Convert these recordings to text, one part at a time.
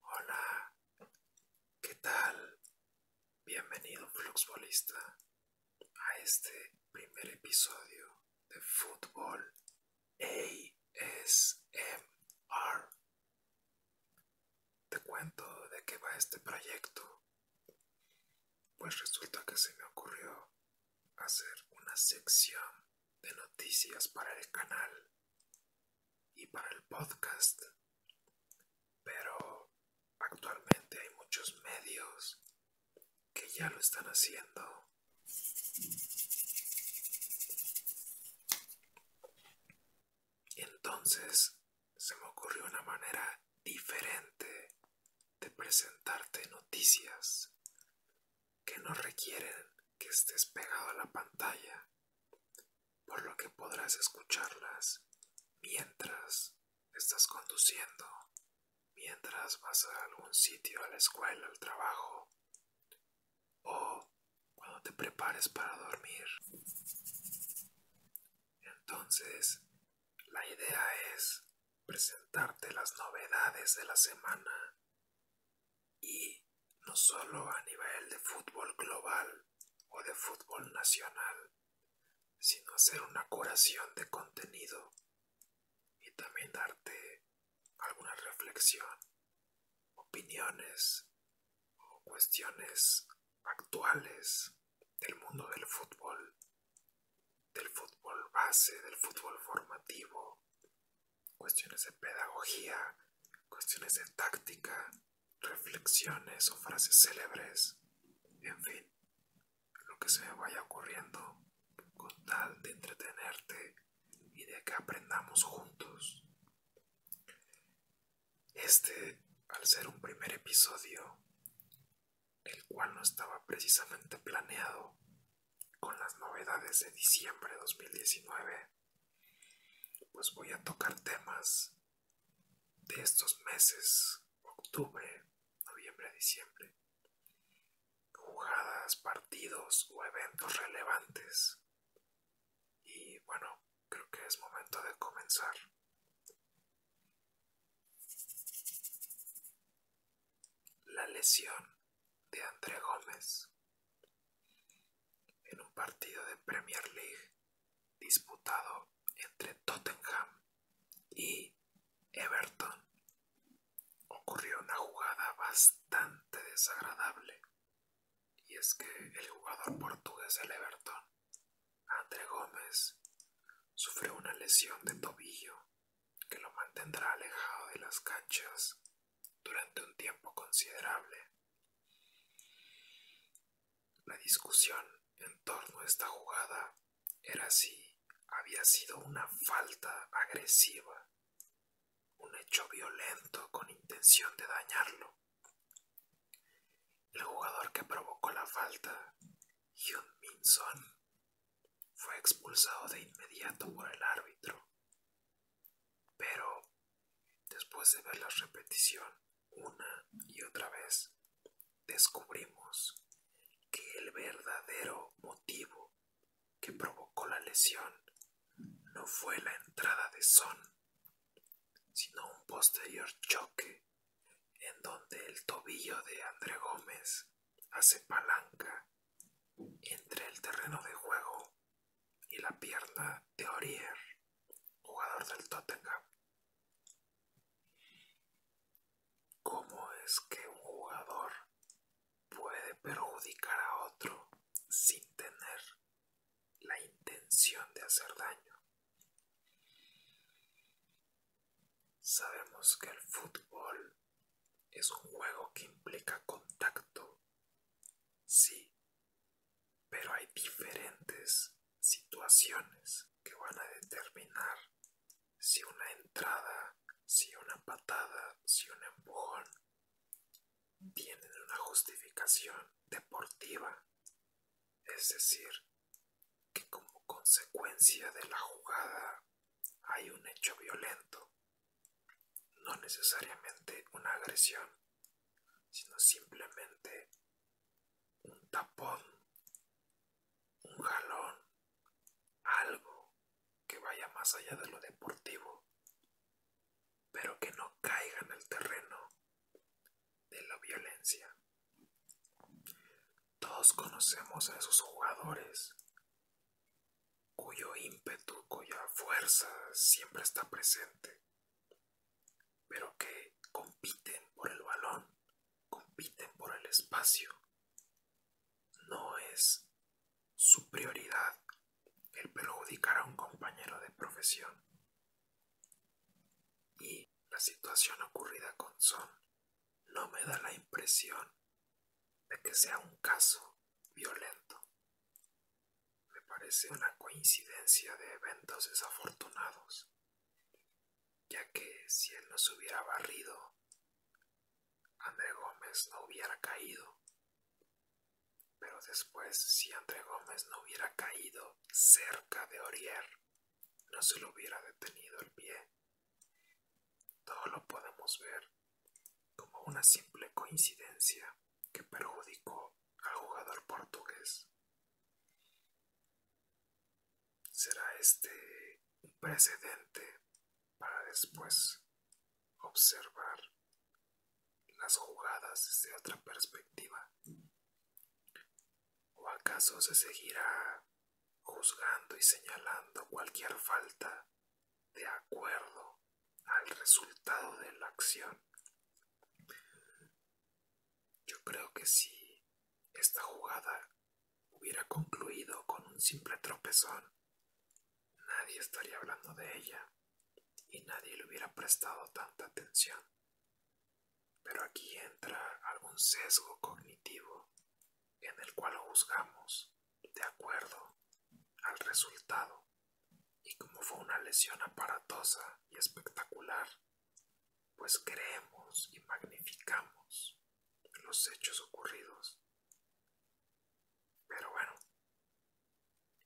Hola, ¿qué tal? Bienvenido Fluxbolista a este primer episodio de Fútbol ASMR. Te cuento de qué va este proyecto. Pues resulta que se me ocurrió hacer una sección de noticias para el canal y para el podcast. Pero actualmente hay muchos medios que ya lo están haciendo. Y entonces se me ocurrió una manera diferente de presentarte noticias que no requieren que estés pegado a la pantalla por lo que podrás escucharlas mientras estás conduciendo, mientras vas a algún sitio, a la escuela, al trabajo o cuando te prepares para dormir. Entonces, la idea es presentarte las novedades de la semana y no solo a nivel de fútbol global o de fútbol nacional, sino hacer una curación de contenido y también darte alguna reflexión, opiniones o cuestiones actuales del mundo del fútbol, del fútbol base, del fútbol formativo, cuestiones de pedagogía, cuestiones de táctica, reflexiones o frases célebres, en fin, lo que se me vaya ocurriendo con tal de entretenerte y de que aprendamos juntos. Este, al ser un primer episodio, el cual no estaba precisamente planeado, con las novedades de diciembre de 2019, pues voy a tocar temas de estos meses, octubre, noviembre, diciembre, jugadas, partidos o eventos relevantes. Y bueno, creo que es momento de comenzar. La lesión de André Gómez en un partido de Premier League disputado entre Tottenham y Everton ocurrió una jugada bastante desagradable y es que el jugador portugués del Everton, André Gómez, sufrió una lesión de tobillo que lo mantendrá alejado de las canchas durante un tiempo considerable. La discusión en torno a esta jugada era si había sido una falta agresiva, un hecho violento con intención de dañarlo. El jugador que provocó la falta, Hyun Min Son, fue expulsado de inmediato por el árbitro pero después de ver la repetición una y otra vez, descubrimos que el verdadero motivo que provocó la lesión no fue la entrada de Son, sino un posterior choque en donde el tobillo de André Gómez hace palanca entre el terreno de juego y la pierna de Orier, jugador del Tottenham. ¿Cómo es que un jugador puede perjudicar a otro sin tener la intención de hacer daño? Sabemos que el fútbol es un juego que implica contacto, sí, pero hay diferentes situaciones que van a determinar si una entrada, si una patada, si un empujón tienen una justificación deportiva. Es decir, que como consecuencia de la jugada hay un hecho violento no necesariamente una agresión, sino simplemente un tapón, un jalón, algo que vaya más allá de lo deportivo, pero que no caiga en el terreno de la violencia. Todos conocemos a esos jugadores cuyo ímpetu, cuya fuerza siempre está presente pero que compiten por el balón, compiten por el espacio. No es su prioridad el perjudicar a un compañero de profesión. Y la situación ocurrida con Son no me da la impresión de que sea un caso violento. Me parece una coincidencia de eventos desafortunados, ya que si él no se hubiera barrido, André Gómez no hubiera caído. Pero después, si André Gómez no hubiera caído cerca de Orier, no se lo hubiera detenido el pie. Todo lo podemos ver como una simple coincidencia que perjudicó al jugador portugués. Será este un precedente para después observar las jugadas desde otra perspectiva. ¿O acaso se seguirá juzgando y señalando cualquier falta de acuerdo al resultado de la acción. Yo creo que si esta jugada hubiera concluido con un simple tropezón, nadie estaría hablando de ella y nadie le hubiera prestado tanta atención. Pero aquí entra algún sesgo cognitivo en el cual juzgamos de acuerdo al resultado y como fue una lesión aparatosa y espectacular, pues creemos y magnificamos los hechos ocurridos. Pero bueno,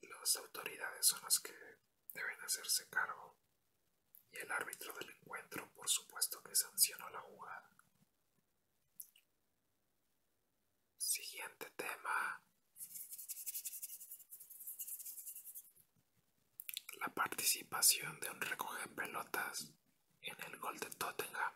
las autoridades son las que deben hacerse cargo y el árbitro del encuentro por supuesto que sancionó la jugada. Siguiente tema. La participación de un recoge pelotas en el gol de Tottenham.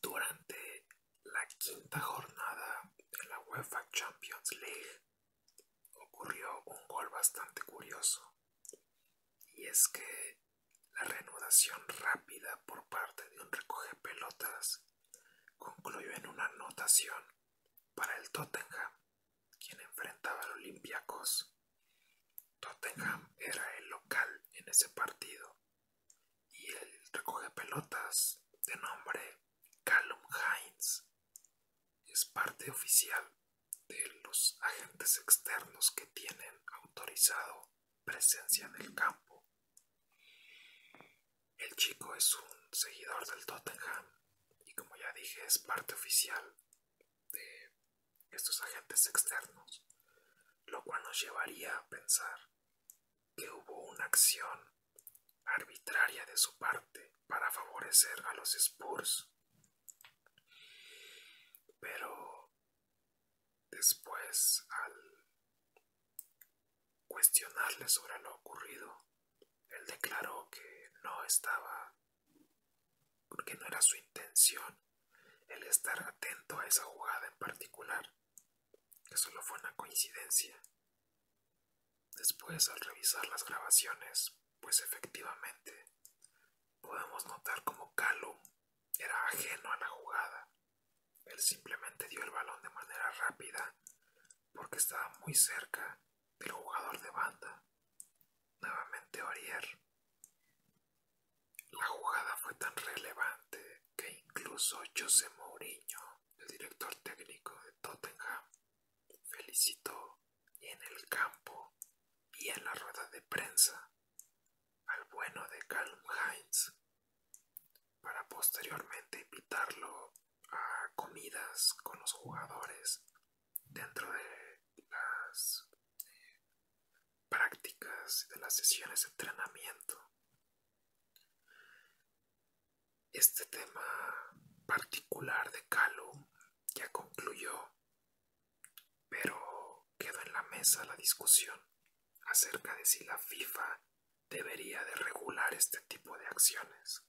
Durante la quinta jornada de la UEFA Champions League ocurrió un gol bastante curioso. Y es que la reanudación rápida por parte de un recoge pelotas concluyó en una anotación para el Tottenham, quien enfrentaba al Olympiacos. Tottenham era el local en ese partido y el recoge pelotas de nombre Callum Hines es parte oficial de los agentes externos que tienen autorizado presencia en el campo. El chico es un seguidor del Tottenham y como ya dije es parte oficial de estos agentes externos, lo cual nos llevaría a pensar que hubo una acción arbitraria de su parte para favorecer a los Spurs. Pero Después, al cuestionarle sobre lo ocurrido, él declaró que no estaba, porque no era su intención el estar atento a esa jugada en particular, que solo fue una coincidencia. Después, al revisar las grabaciones, pues efectivamente, podemos notar como Calum era ajeno a la jugada él simplemente dio el balón de manera rápida porque estaba muy cerca del jugador de banda. Nuevamente Orier. La jugada fue tan relevante que incluso José Mourinho, el director técnico de Tottenham, felicitó en el campo y en la rueda de prensa al bueno de Calum Heinz para posteriormente invitarlo a comidas con los jugadores dentro de las eh, prácticas de las sesiones de entrenamiento. Este tema particular de Calum ya concluyó, pero quedó en la mesa la discusión acerca de si la FIFA debería de regular este tipo de acciones.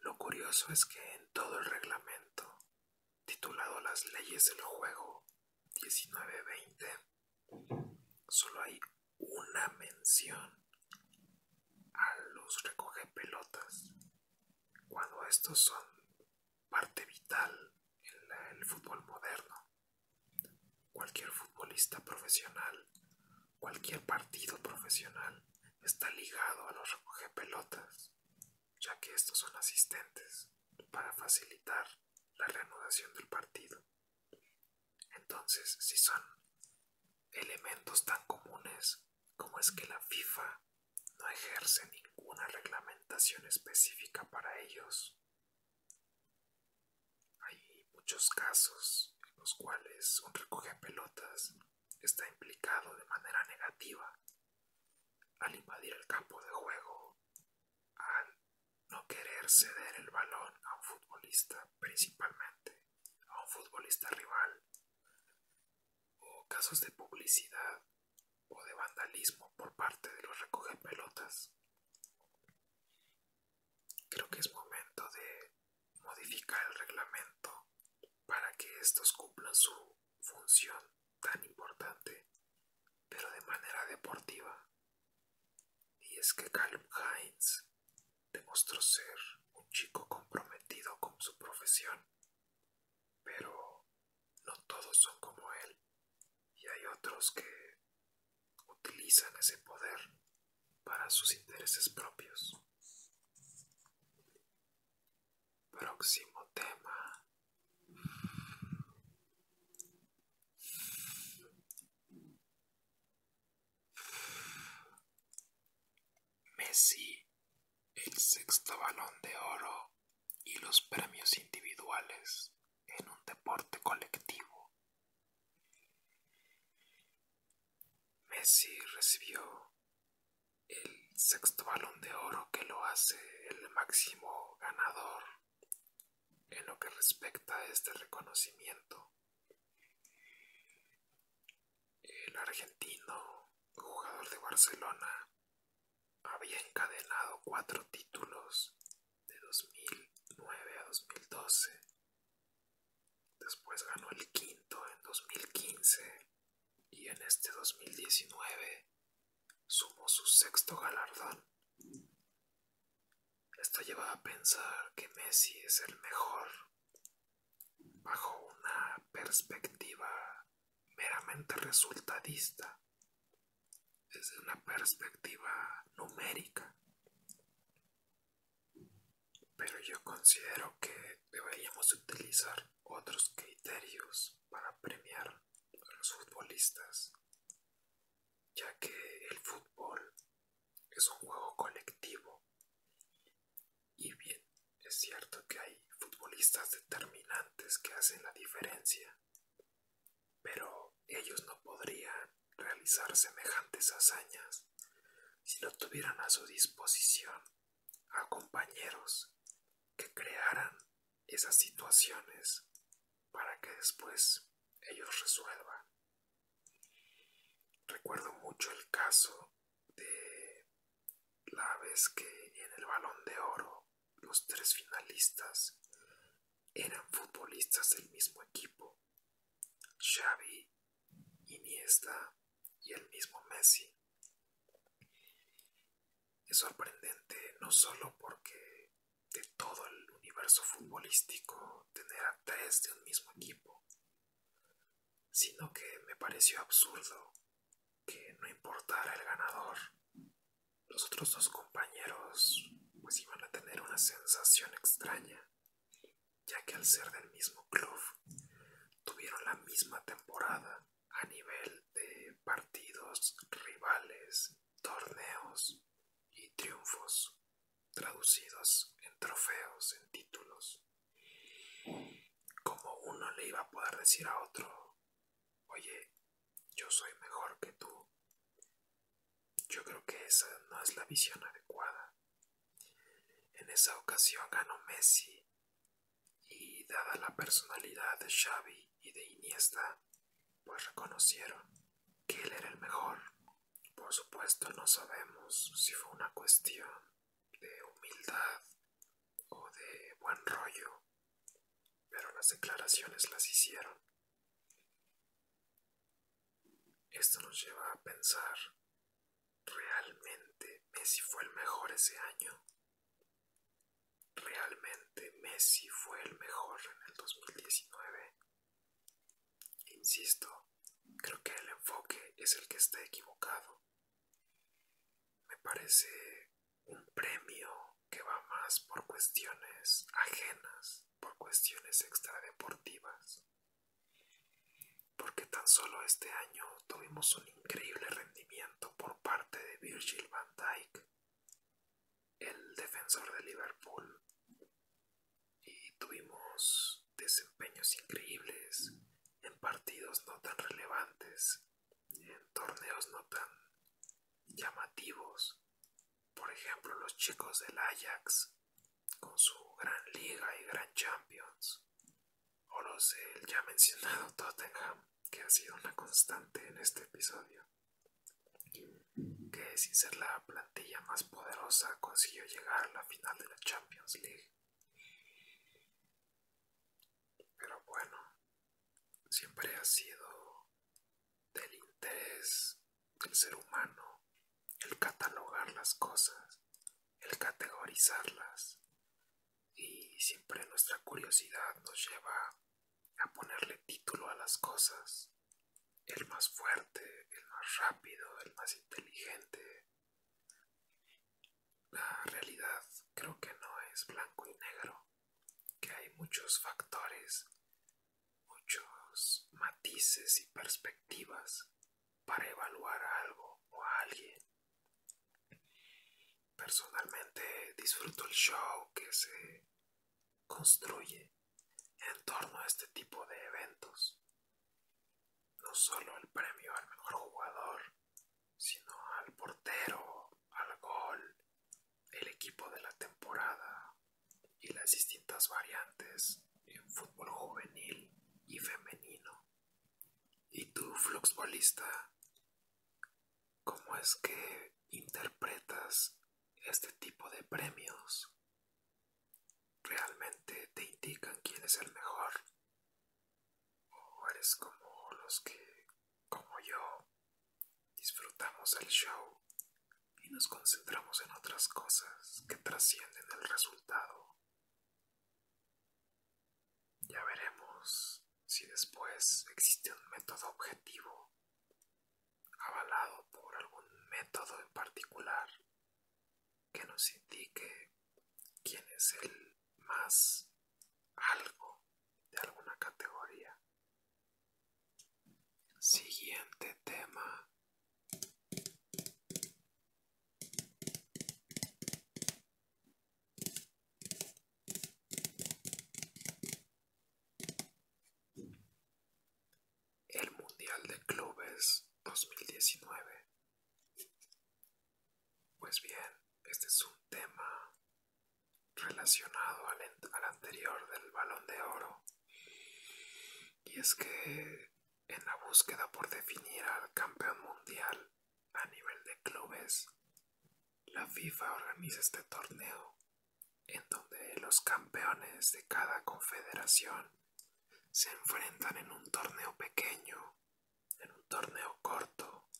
Lo curioso es que en todo el reglamento, titulado Las leyes del juego 1920 solo hay una mención a los pelotas cuando estos son parte vital en el fútbol moderno. Cualquier futbolista profesional, cualquier partido profesional está ligado a los recoge pelotas, ya que estos son asistentes para facilitar la reanudación del partido. Entonces, si son elementos tan comunes como es que la FIFA no ejerce ninguna reglamentación específica para ellos, hay muchos casos en los cuales un recoge pelotas está implicado de manera negativa al invadir el campo de juego, al no querer ceder el balón a un futbolista principalmente, a un futbolista rival, o casos de publicidad o de vandalismo por parte de los recogepelotas. Creo que es momento de modificar el reglamento para que estos cumplan su función tan importante, pero de manera deportiva. Y es que Calum Hines demostró ser un chico comprometido con su profesión, pero no todos son como él y hay otros que utilizan ese poder para sus intereses propios. Próximo tema. Messi, el sexto balón de oro y los premios individuales en un deporte colectivo. Messi recibió el sexto balón de oro que lo hace el máximo ganador en lo que respecta a este reconocimiento. El argentino, jugador de Barcelona, había encadenado cuatro títulos de 2009 a 2012. Después ganó el quinto en 2015 y en este 2019 sumó su sexto galardón. Esto lleva a pensar que Messi es el mejor bajo una perspectiva meramente resultadista es una perspectiva numérica. Pero yo considero que deberíamos utilizar otros criterios para premiar a los futbolistas, ya que el fútbol es un juego colectivo. Y bien, es cierto que hay futbolistas determinantes que hacen la diferencia, pero ellos no podrían realizar semejantes hazañas si no tuvieran a su disposición a compañeros que crearan esas situaciones para que después ellos resuelvan. Recuerdo mucho el caso de la vez que en el balón de oro los tres finalistas eran futbolistas del mismo equipo, Xavi, Iniesta y el mismo Messi. Es sorprendente no solo porque de todo el universo futbolístico tener a tres de un mismo equipo, sino que me pareció absurdo que no importara el ganador, los otros dos compañeros pues iban a tener una sensación extraña, ya que al ser del mismo club tuvieron la misma temporada a nivel de partidos, rivales, torneos y triunfos traducidos en trofeos, en títulos. Como uno le iba a poder decir a otro Oye, yo soy mejor que tú. Yo creo que esa no es la visión adecuada. En esa ocasión ganó Messi y dada la personalidad de Xavi y de Iniesta, pues reconocieron que él era el mejor. Por supuesto no sabemos si fue una cuestión de humildad o de buen rollo pero las declaraciones las hicieron. Esto nos lleva a pensar, ¿realmente Messi fue el mejor ese año? ¿Realmente Messi fue el mejor en el 2019? Insisto, creo que el enfoque es el que está equivocado. Me parece un premio que va más por cuestiones ajenas, por cuestiones extradeportivas, porque tan solo este año tuvimos un increíble rendimiento por parte de Virgil van Dijk, el defensor de Liverpool, y tuvimos desempeños increíbles en partidos no tan relevantes en torneos no tan llamativos. Por ejemplo, los chicos del Ajax con su Gran Liga y Gran Champions. O los del ya mencionado Tottenham, que ha sido una constante en este episodio. Que sin ser la plantilla más poderosa consiguió llegar a la final de la Champions League pero bueno, siempre ha sido del interés del ser humano el catalogar las cosas, el categorizarlas y siempre nuestra curiosidad nos lleva a ponerle título a las cosas, el más fuerte, el más rápido, el más inteligente. La realidad creo que no es blanco y negro que hay muchos factores, muchos matices y perspectivas para evaluar algo o a alguien. Personalmente disfruto el show que se construye en torno a este tipo de eventos. No solo el premio al mejor jugador, sino al portero, al gol, el equipo de la temporada y las distintas variantes en fútbol juvenil y femenino. ¿Y tú, fluxbolista, cómo es que interpretas este tipo de premios? ¿Realmente te indican quién es el mejor? ¿O eres como los que, como yo, Disfrutamos el show y nos concentramos en otras cosas que trascienden el resultado. Ya veremos si después existe un método objetivo, avalado por algún método en particular, que nos indique quién es el más algo de alguna categoría. Siguiente tema. El Mundial de Clubes 2019. Pues bien, este es un tema relacionado al, anterior del balón de oro. Y es que en la búsqueda por definir al campeón mundial a nivel de clubes, la FIFA organiza este torneo en donde los campeones de cada confederación se enfrentan en un torneo pequeño, en un torneo corto,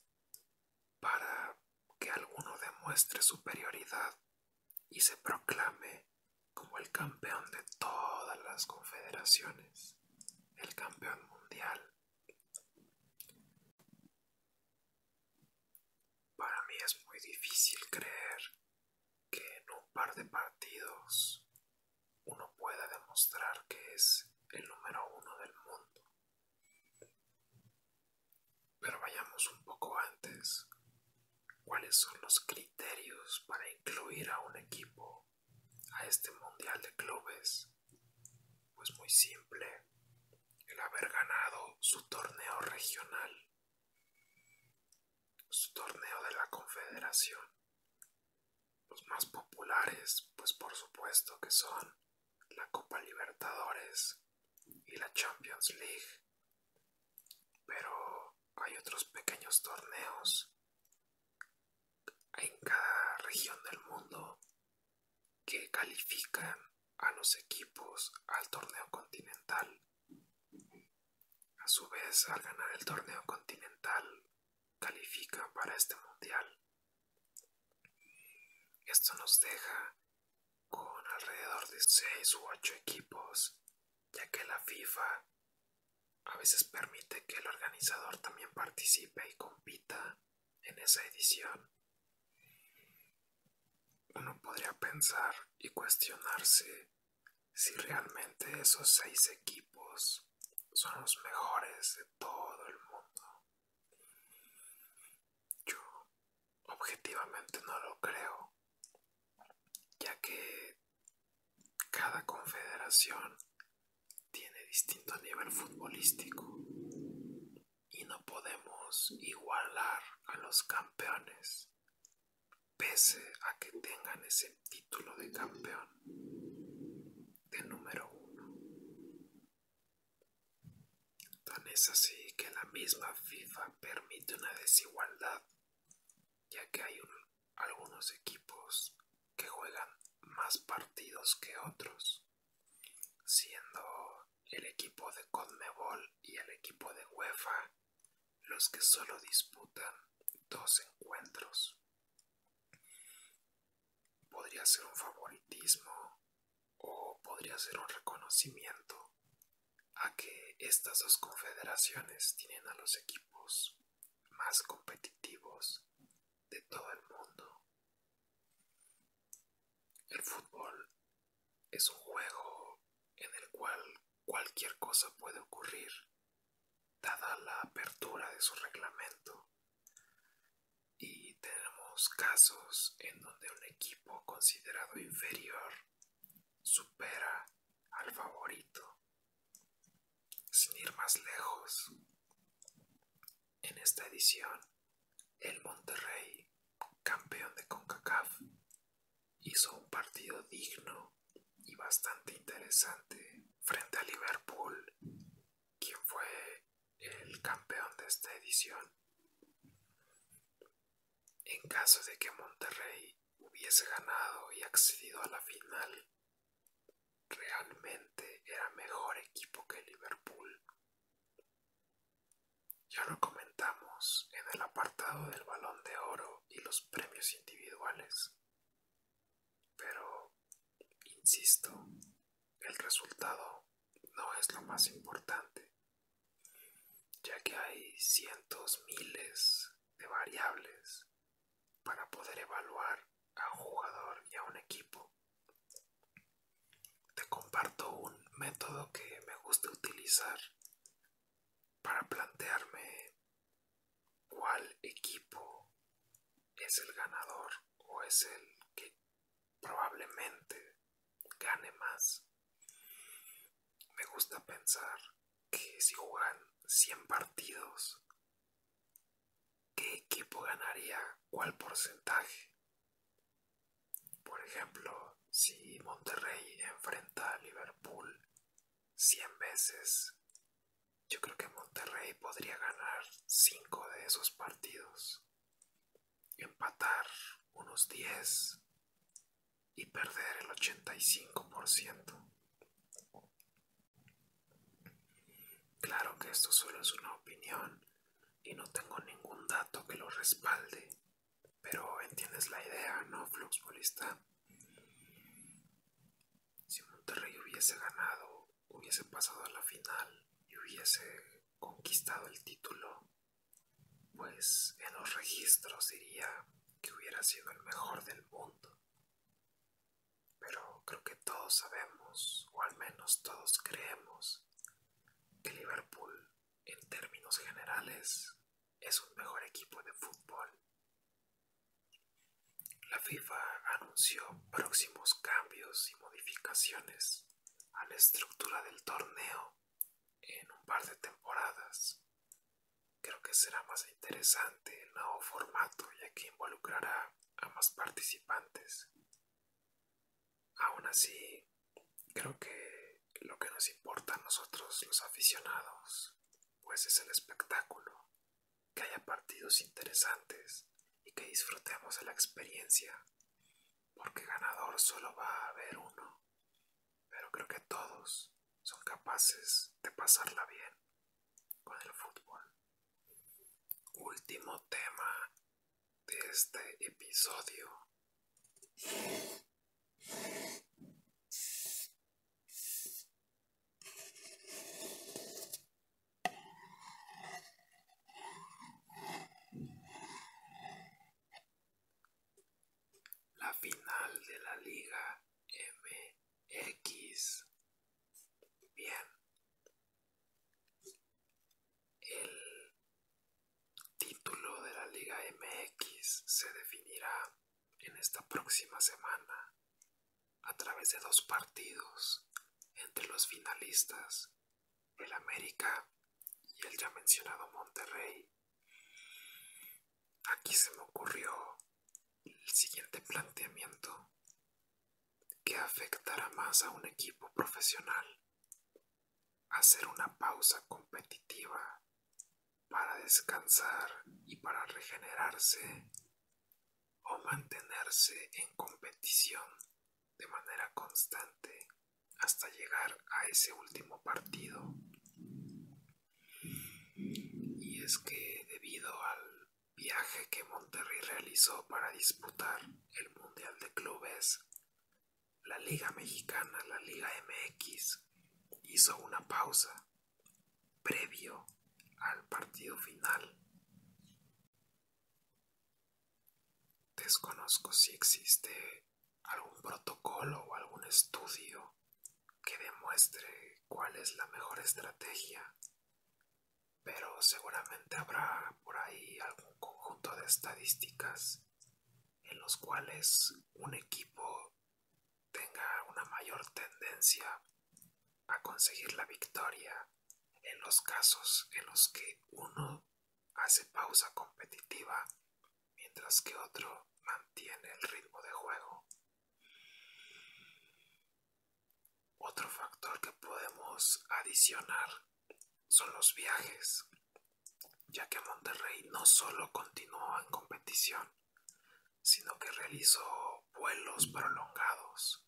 para que alguno demuestre superioridad y se proclame como el campeón de todas las confederaciones, el campeón mundial. Para mí es muy difícil creer que en un par de partidos uno pueda demostrar que es el número uno del mundo. Pero vayamos un poco antes. ¿Cuáles son los criterios para incluir a un equipo a este Mundial de Clubes? Pues muy simple, el haber ganado su torneo regional, su torneo de la Confederación. Los más populares, pues por supuesto que son la Copa Libertadores y la Champions League. Pero hay otros pequeños torneos en cada región del mundo que califican a los equipos al torneo continental. A su vez, al ganar el torneo continental, califica para este mundial. Esto nos deja con alrededor de 6 u 8 equipos, ya que la FIFA a veces permite que el organizador también participe y compita en esa edición. Uno podría pensar y cuestionarse si realmente esos seis equipos son los mejores de todo el mundo. Yo objetivamente no lo creo, ya que cada confederación tiene distinto nivel futbolístico y no podemos igualar a los campeones pese a que tengan ese título de campeón de número uno Tan es así que la misma FIFA permite una desigualdad, ya que hay algunos equipos que juegan más partidos que otros, siendo el equipo de Conmebol y el equipo de UEFA los que solo disputan dos encuentros. Podría ser un favoritismo o podría ser un reconocimiento a que estas dos confederaciones tienen a los equipos más competitivos de todo el mundo. El fútbol es un juego en el cual cualquier cosa puede ocurrir, dada la apertura de su reglamento, y tenemos casos en donde un equipo considerado inferior supera al favorito. Sin ir más lejos, en esta edición, el Monterrey, campeón de CONCACAF, hizo un partido digno y bastante interesante frente a Liverpool, quien fue el campeón de esta edición. En caso de que Monterrey hubiese ganado y accedido a la final, realmente era mejor equipo que Liverpool. Ya lo comentamos en el apartado del balón de oro y los premios individuales. Pero, insisto, el resultado no es lo más importante, ya que hay cientos, miles de variables para poder evaluar a un jugador y a un equipo. Te comparto un método que me gusta utilizar para plantearme cuál equipo es el ganador o es el que probablemente gane más. Me gusta pensar que si juegan 100 partidos, ¿qué equipo ganaría cuál porcentaje? Por ejemplo, si Monterrey enfrenta a Liverpool 100 veces, yo creo que Monterrey podría ganar 5 de esos partidos empatar unos 10 y perder el 85%. Claro que esto solo es una opinión y no tengo ningún dato que lo respalde, pero entiendes la idea, ¿no, Fluxbolista? Si Monterrey hubiese ganado, hubiese pasado a la final y hubiese conquistado el título, pues en los registros diría que hubiera sido el mejor del mundo. Pero creo que todos sabemos, o al menos todos creemos, que Liverpool, en términos generales, es un mejor equipo de fútbol. La FIFA anunció próximos cambios y modificaciones a la estructura del torneo en un par de temporadas. Creo que será más interesante el nuevo formato ya que involucrará a más participantes. Aún así, creo que lo que nos importa a nosotros los aficionados, pues es el espectáculo, que haya partidos interesantes y que disfrutemos de la experiencia porque ganador solo va a haber uno, pero creo que todos son capaces de pasarla bien con el fútbol. Último tema de este episodio. La final de la Liga MX. Bien. El título de la Liga MX se definirá en esta próxima semana a través de dos partidos entre los finalistas el América y el ya mencionado Monterrey. Aquí se me ocurrió el siguiente planteamiento que afectará más a un equipo profesional. Hacer una pausa competitiva para descansar y para regenerarse o mantenerse en competición de manera constante hasta llegar a ese último partido. Y es que debido al viaje que Monterrey realizó para disputar el Mundial de Clubes, la Liga Mexicana, la Liga MX, hizo una pausa previo al partido final. Desconozco si existe algún protocolo o algún estudio que demuestre cuál es la mejor estrategia, pero seguramente habrá por ahí algún conjunto de estadísticas en los cuales un equipo tenga una mayor tendencia a conseguir la victoria en los casos en los que uno hace pausa competitiva mientras que otro mantiene el ritmo de juego. Otro factor que podemos adicionar son los viajes, ya que Monterrey no solo continuó en competición, sino que realizó vuelos prolongados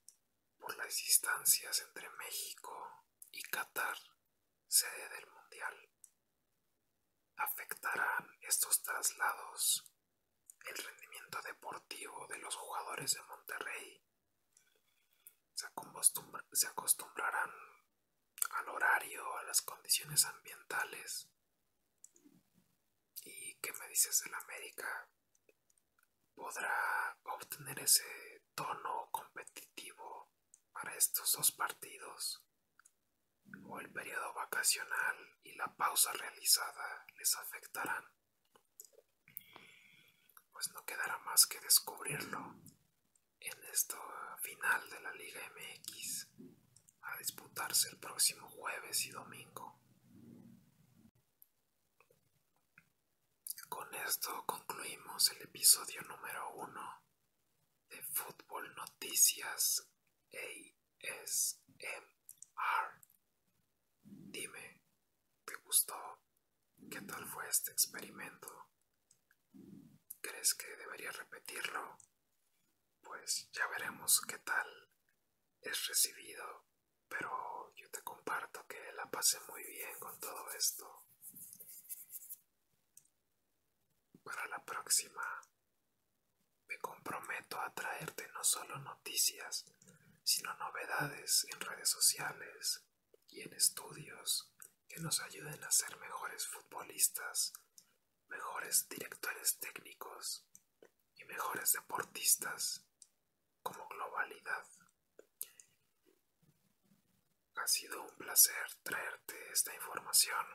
por las distancias entre México y Qatar, sede del Mundial. ¿Afectarán estos traslados el rendimiento deportivo de los jugadores de Monterrey? ¿Se, acostumbrarán al horario, a las condiciones ambientales? ¿Y qué me dices la América? podrá obtener ese tono competitivo para estos dos partidos o el periodo vacacional y la pausa realizada les afectarán pues no quedará más que descubrirlo en esta final de la Liga MX a disputarse el próximo jueves y domingo con esto concluimos el episodio número uno de Fútbol Noticias ASMR. Dime, ¿te gustó? ¿Qué tal fue este experimento? ¿Crees que debería repetirlo? Pues ya veremos qué tal es recibido, pero yo te comparto que la pasé muy bien con todo esto. Para la próxima, me comprometo a traerte no solo noticias, sino novedades en redes sociales y en estudios que nos ayuden a ser mejores futbolistas, mejores directores técnicos y mejores deportistas como globalidad. Ha sido un placer traerte esta información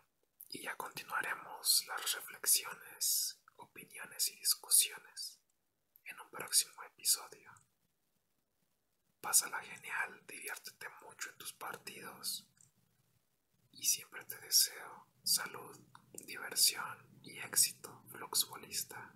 y ya continuaremos las reflexiones, opiniones y discusiones en un próximo episodio. Pásala genial, diviértete mucho en tus partidos y siempre te deseo salud, diversión y éxito fluxbolista.